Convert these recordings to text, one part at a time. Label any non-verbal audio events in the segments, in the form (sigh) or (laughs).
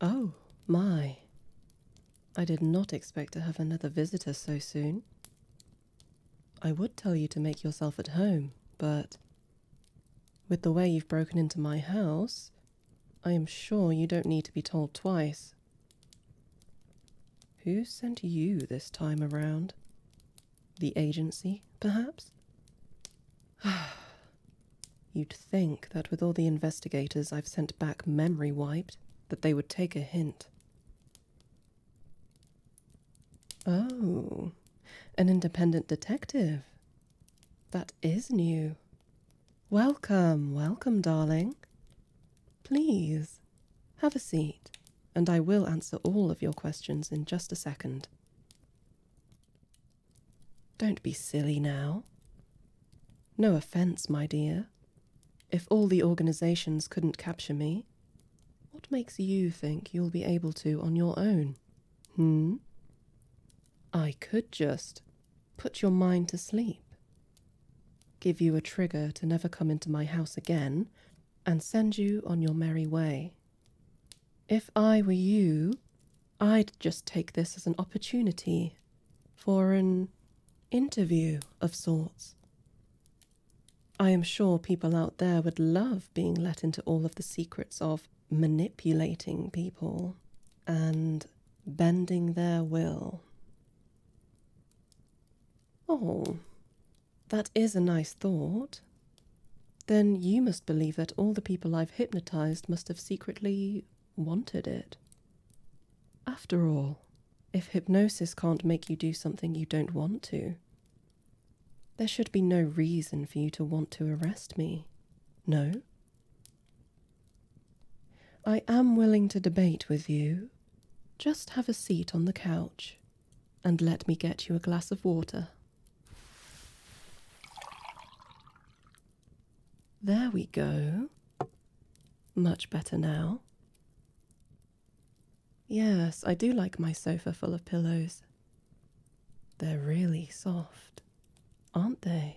Oh, my. I did not expect to have another visitor so soon. I would tell you to make yourself at home, but with the way you've broken into my house, I am sure you don't need to be told twice. Who sent you this time around? The agency, perhaps? (sighs) You'd think that with all the investigators I've sent back memory wiped, that they would take a hint. Oh, an independent detective. That is new. Welcome, welcome, darling. Please, have a seat, and I will answer all of your questions in just a second. Don't be silly now. No offense, my dear. If all the organizations couldn't capture me, what makes you think you'll be able to on your own? Hmm? I could just put your mind to sleep, give you a trigger to never come into my house again, and send you on your merry way. If I were you, I'd just take this as an opportunity for an interview of sorts. I am sure people out there would love being let into all of the secrets of manipulating people and bending their will. Oh, that is a nice thought. Then you must believe that all the people I've hypnotized must have secretly wanted it. After all, if hypnosis can't make you do something you don't want to, there should be no reason for you to want to arrest me. No? I am willing to debate with you. Just have a seat on the couch and let me get you a glass of water there we go. Much better now. Yes, I do like my sofa full of pillows. They're really soft, aren't they?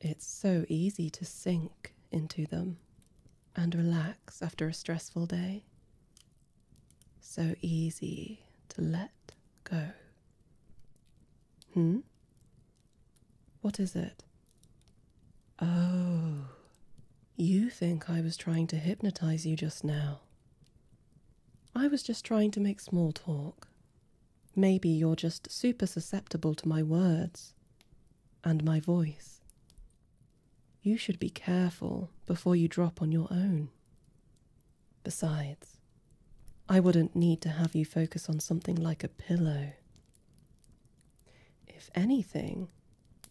It's so easy to sink into them and relax after a stressful day so easy to let go. Hmm? What is it? Oh, you think I was trying to hypnotize you just now. I was just trying to make small talk. Maybe you're just super susceptible to my words and my voice. You should be careful before you drop on your own. Besides, I wouldn't need to have you focus on something like a pillow. If anything,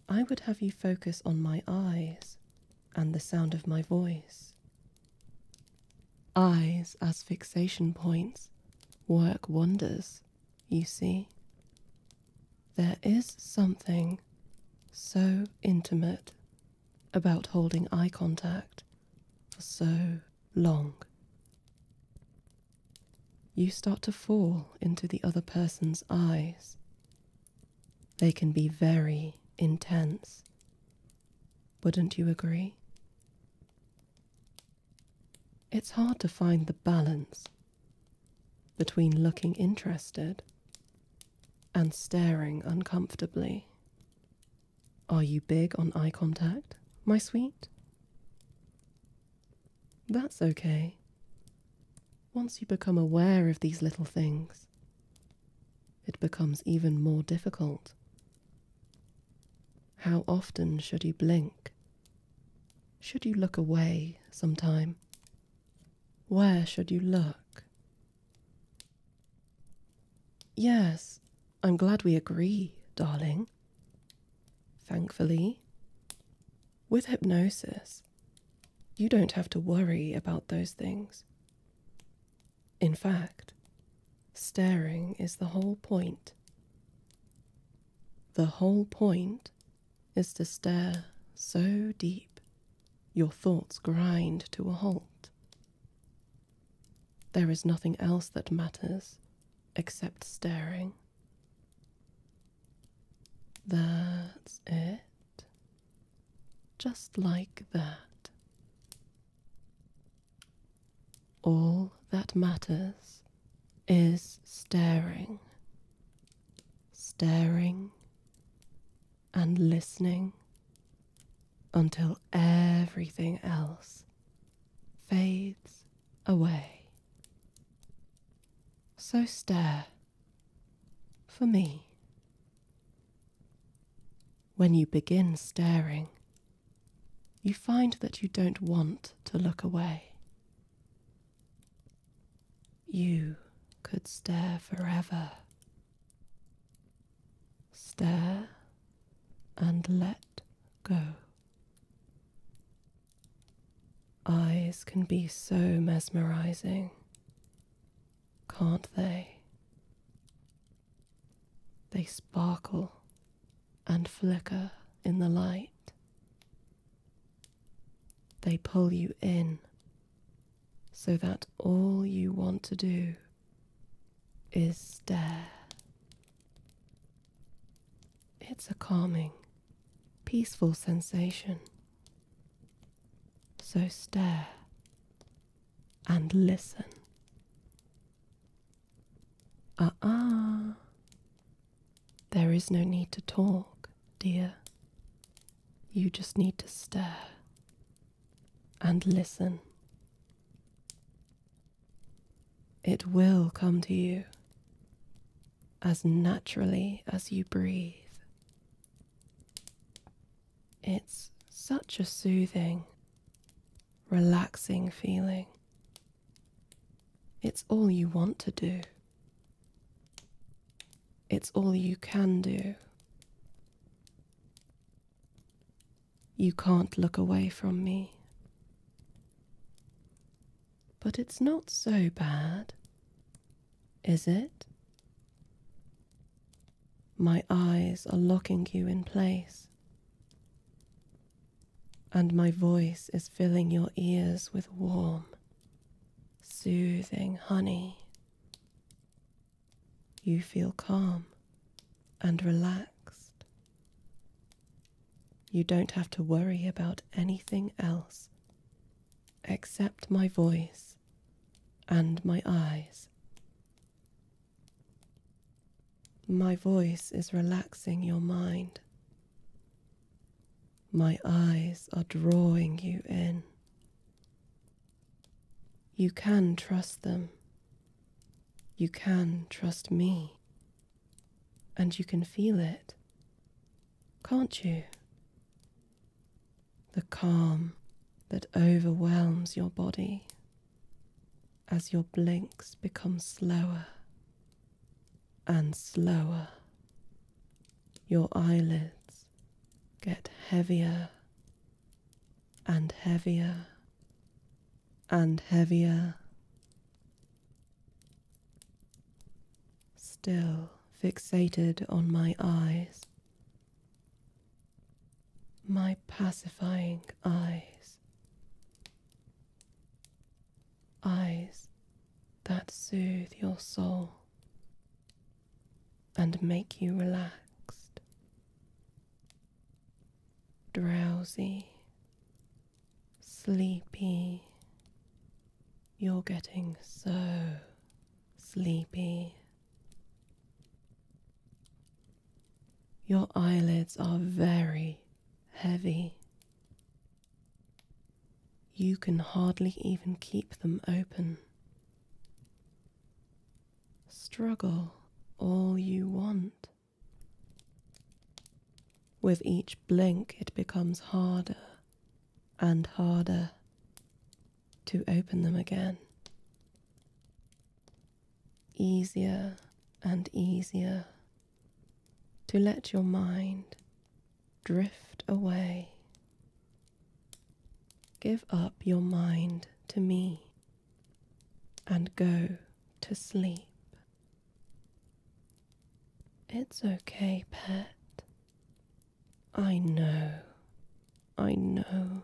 I would have you focus on my eyes and the sound of my voice. Eyes as fixation points work wonders, you see. There is something so intimate about holding eye contact for so long. You start to fall into the other person's eyes. They can be very intense. Wouldn't you agree? It's hard to find the balance between looking interested and staring uncomfortably. Are you big on eye contact, my sweet? That's okay. Once you become aware of these little things, it becomes even more difficult. How often should you blink? Should you look away sometime? Where should you look? Yes, I'm glad we agree, darling. Thankfully, with hypnosis, you don't have to worry about those things. In fact, staring is the whole point. The whole point is to stare so deep your thoughts grind to a halt. There is nothing else that matters except staring. That's it. Just like that. All that matters is staring. Staring and listening until everything else fades away. So stare for me. When you begin staring, you find that you don't want to look away. You could stare forever Stare and let go. Eyes can be so mesmerizing, can't they? They sparkle and flicker in the light. They pull you in so that all you want to do is stare. It's a calming, peaceful sensation. So stare and listen. Ah ah. There is no need to talk, dear. You just need to stare and listen. It will come to you as naturally as you breathe. It's such a soothing, relaxing feeling. It's all you want to do it's all you can do. You can't look away from me. But it's not so bad, is it? My eyes are locking you in place, and my voice is filling your ears with warm, soothing honey. You feel calm and relaxed. You don't have to worry about anything else except my voice and my eyes. My voice is relaxing your mind. My eyes are drawing you in. You can trust them. You can trust me. And you can feel it, can't you? The calm that overwhelms your body as your blinks become slower and slower, your eyelids get heavier and heavier and heavier. Still fixated on my eyes, my pacifying eyes, eyes that soothe your soul and make you relaxed, drowsy, sleepy. You're getting so sleepy. Your eyelids are very heavy you can hardly even keep them open. Struggle all you want. With each blink, it becomes harder and harder to open them again. Easier and easier to let your mind drift away. Give up your mind to me and go to sleep. It's okay, pet. I know, I know.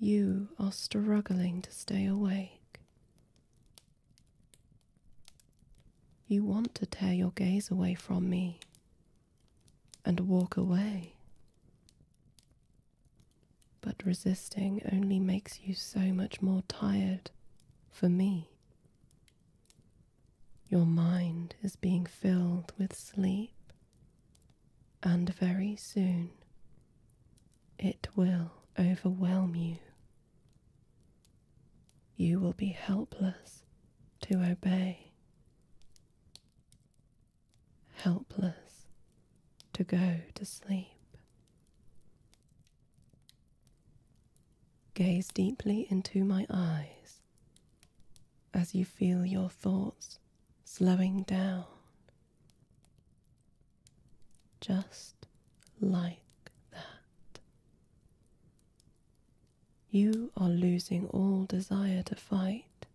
You are struggling to stay awake, you want to tear your gaze away from me and walk away. But resisting only makes you so much more tired for me. Your mind is being filled with sleep, and very soon it will overwhelm you you will be helpless to obey, helpless to go to sleep. Gaze deeply into my eyes as you feel your thoughts slowing down, just like that. You are losing all desire to fight,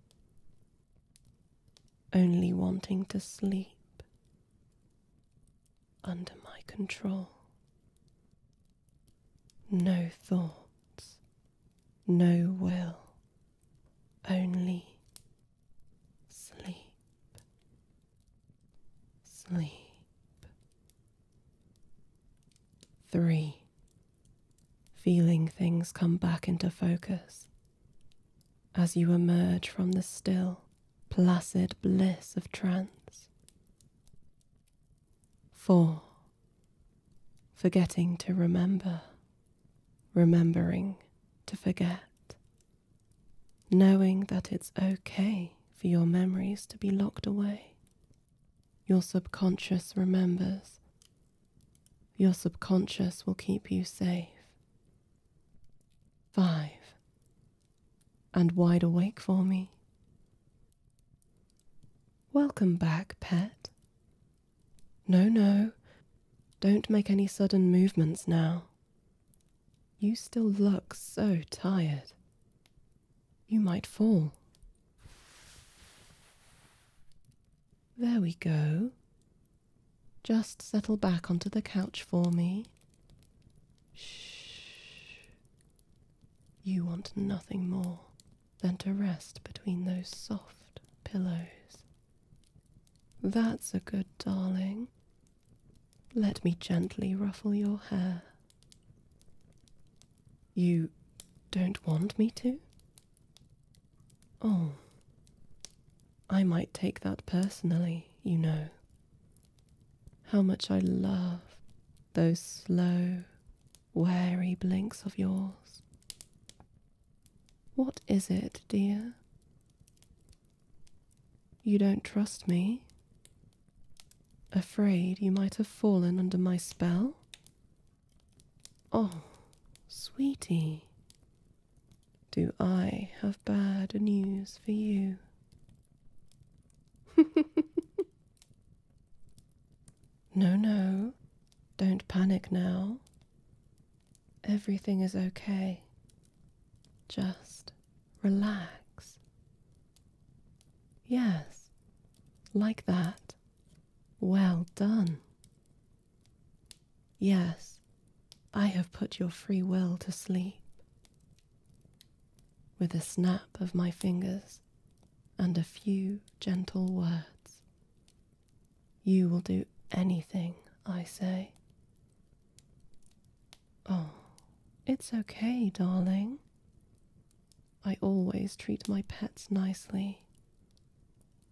only wanting to sleep under my control. No thoughts, no will, only sleep sleep. Three, feeling things come back into focus as you emerge from the still, placid bliss of trance. Four, forgetting to remember, remembering to forget knowing that it's okay for your memories to be locked away. Your subconscious remembers. Your subconscious will keep you safe. 5. And wide awake for me. Welcome back, pet. No, no, don't make any sudden movements now. You still look so tired. You might fall. There we go. Just settle back onto the couch for me. Shh. You want nothing more than to rest between those soft pillows. That's a good darling. Let me gently ruffle your hair. You don't want me to? Oh, I might take that personally, you know. How much I love those slow, wary blinks of yours. What is it, dear? You don't trust me? Afraid you might have fallen under my spell? Oh, sweetie, do I have bad news for you? (laughs) no, no, don't panic now. Everything is okay. Just relax. Yes, like that. Well done. Yes, I have put your free will to sleep. With a snap of my fingers and a few gentle words, you will do anything I say. Oh, it's okay, darling. I always treat my pets nicely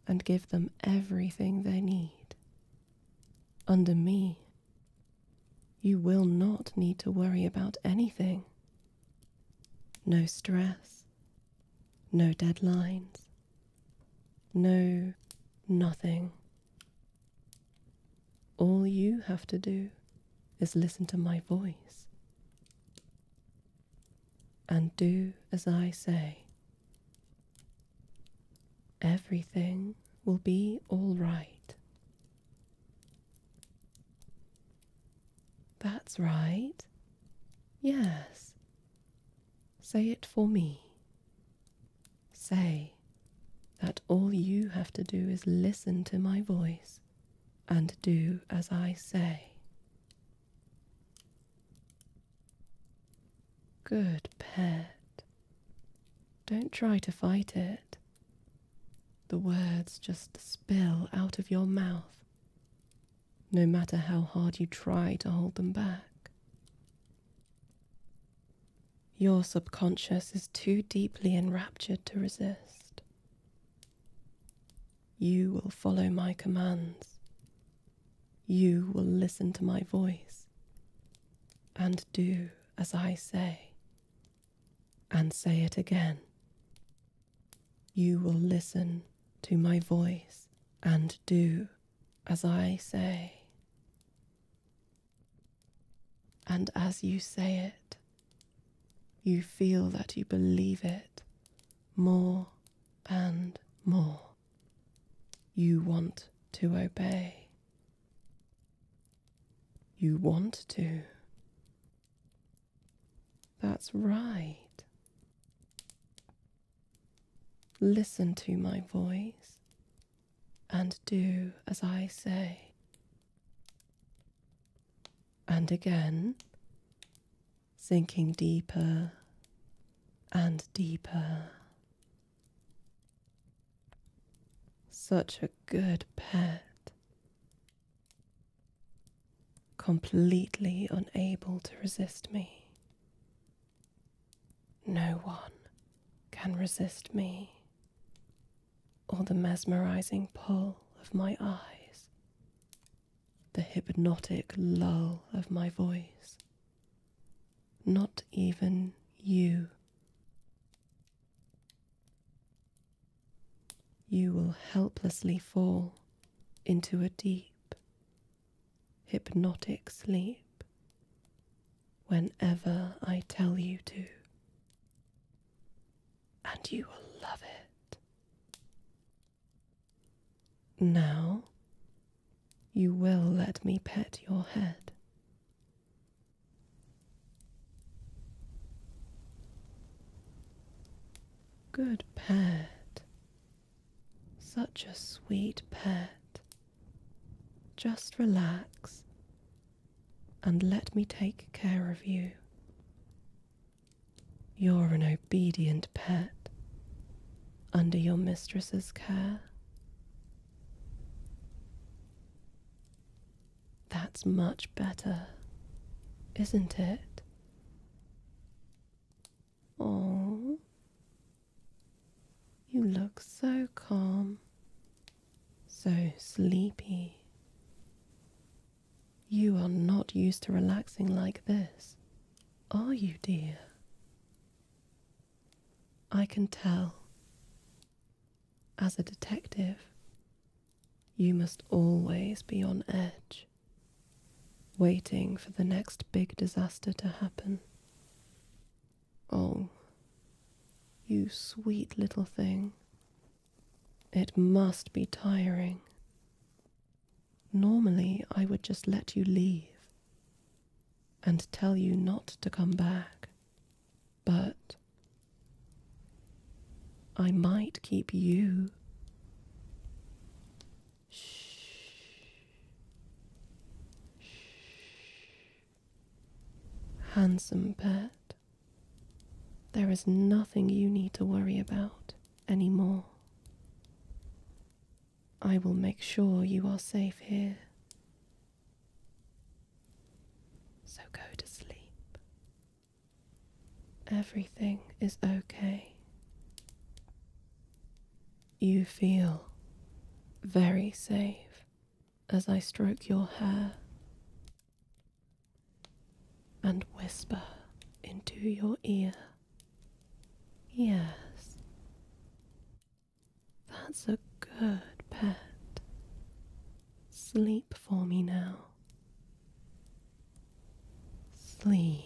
and give them everything they need. Under me, you will not need to worry about anything. No stress, no deadlines, no nothing. All you have to do is listen to my voice and do as I say. Everything will be all right. That's right. Yes. Say it for me. Say that all you have to do is listen to my voice and do as I say. Good pet. Don't try to fight it. The words just spill out of your mouth, no matter how hard you try to hold them back. Your subconscious is too deeply enraptured to resist. You will follow my commands. You will listen to my voice and do as I say. And say it again. You will listen to my voice and do as I say. And as you say it, you feel that you believe it more and more. You want to obey. You want to. That's right. Listen to my voice and do as I say. And again, sinking deeper and deeper. Such a good pet. Completely unable to resist me. No one can resist me or the mesmerizing pull of my eyes, the hypnotic lull of my voice. Not even you. You will helplessly fall into a deep, hypnotic sleep whenever I tell you to, and you will love it. Now, you will let me pet your head. Good pet, such a sweet pet. Just relax and let me take care of you. You're an obedient pet under your mistress's care. That's much better, isn't it? Oh, you look so calm, so sleepy. You are not used to relaxing like this, are you, dear? I can tell. As a detective, you must always be on edge, waiting for the next big disaster to happen. Oh, you sweet little thing. It must be tiring. Normally, I would just let you leave and tell you not to come back, but I might keep you. Shh. Shh. Handsome pet. there is nothing you need to worry about anymore. I will make sure you are safe here. So go to sleep. Everything is okay. You feel very safe as I stroke your hair and whisper into your ear. Yes, that's a good pet. Sleep for me now. Sleep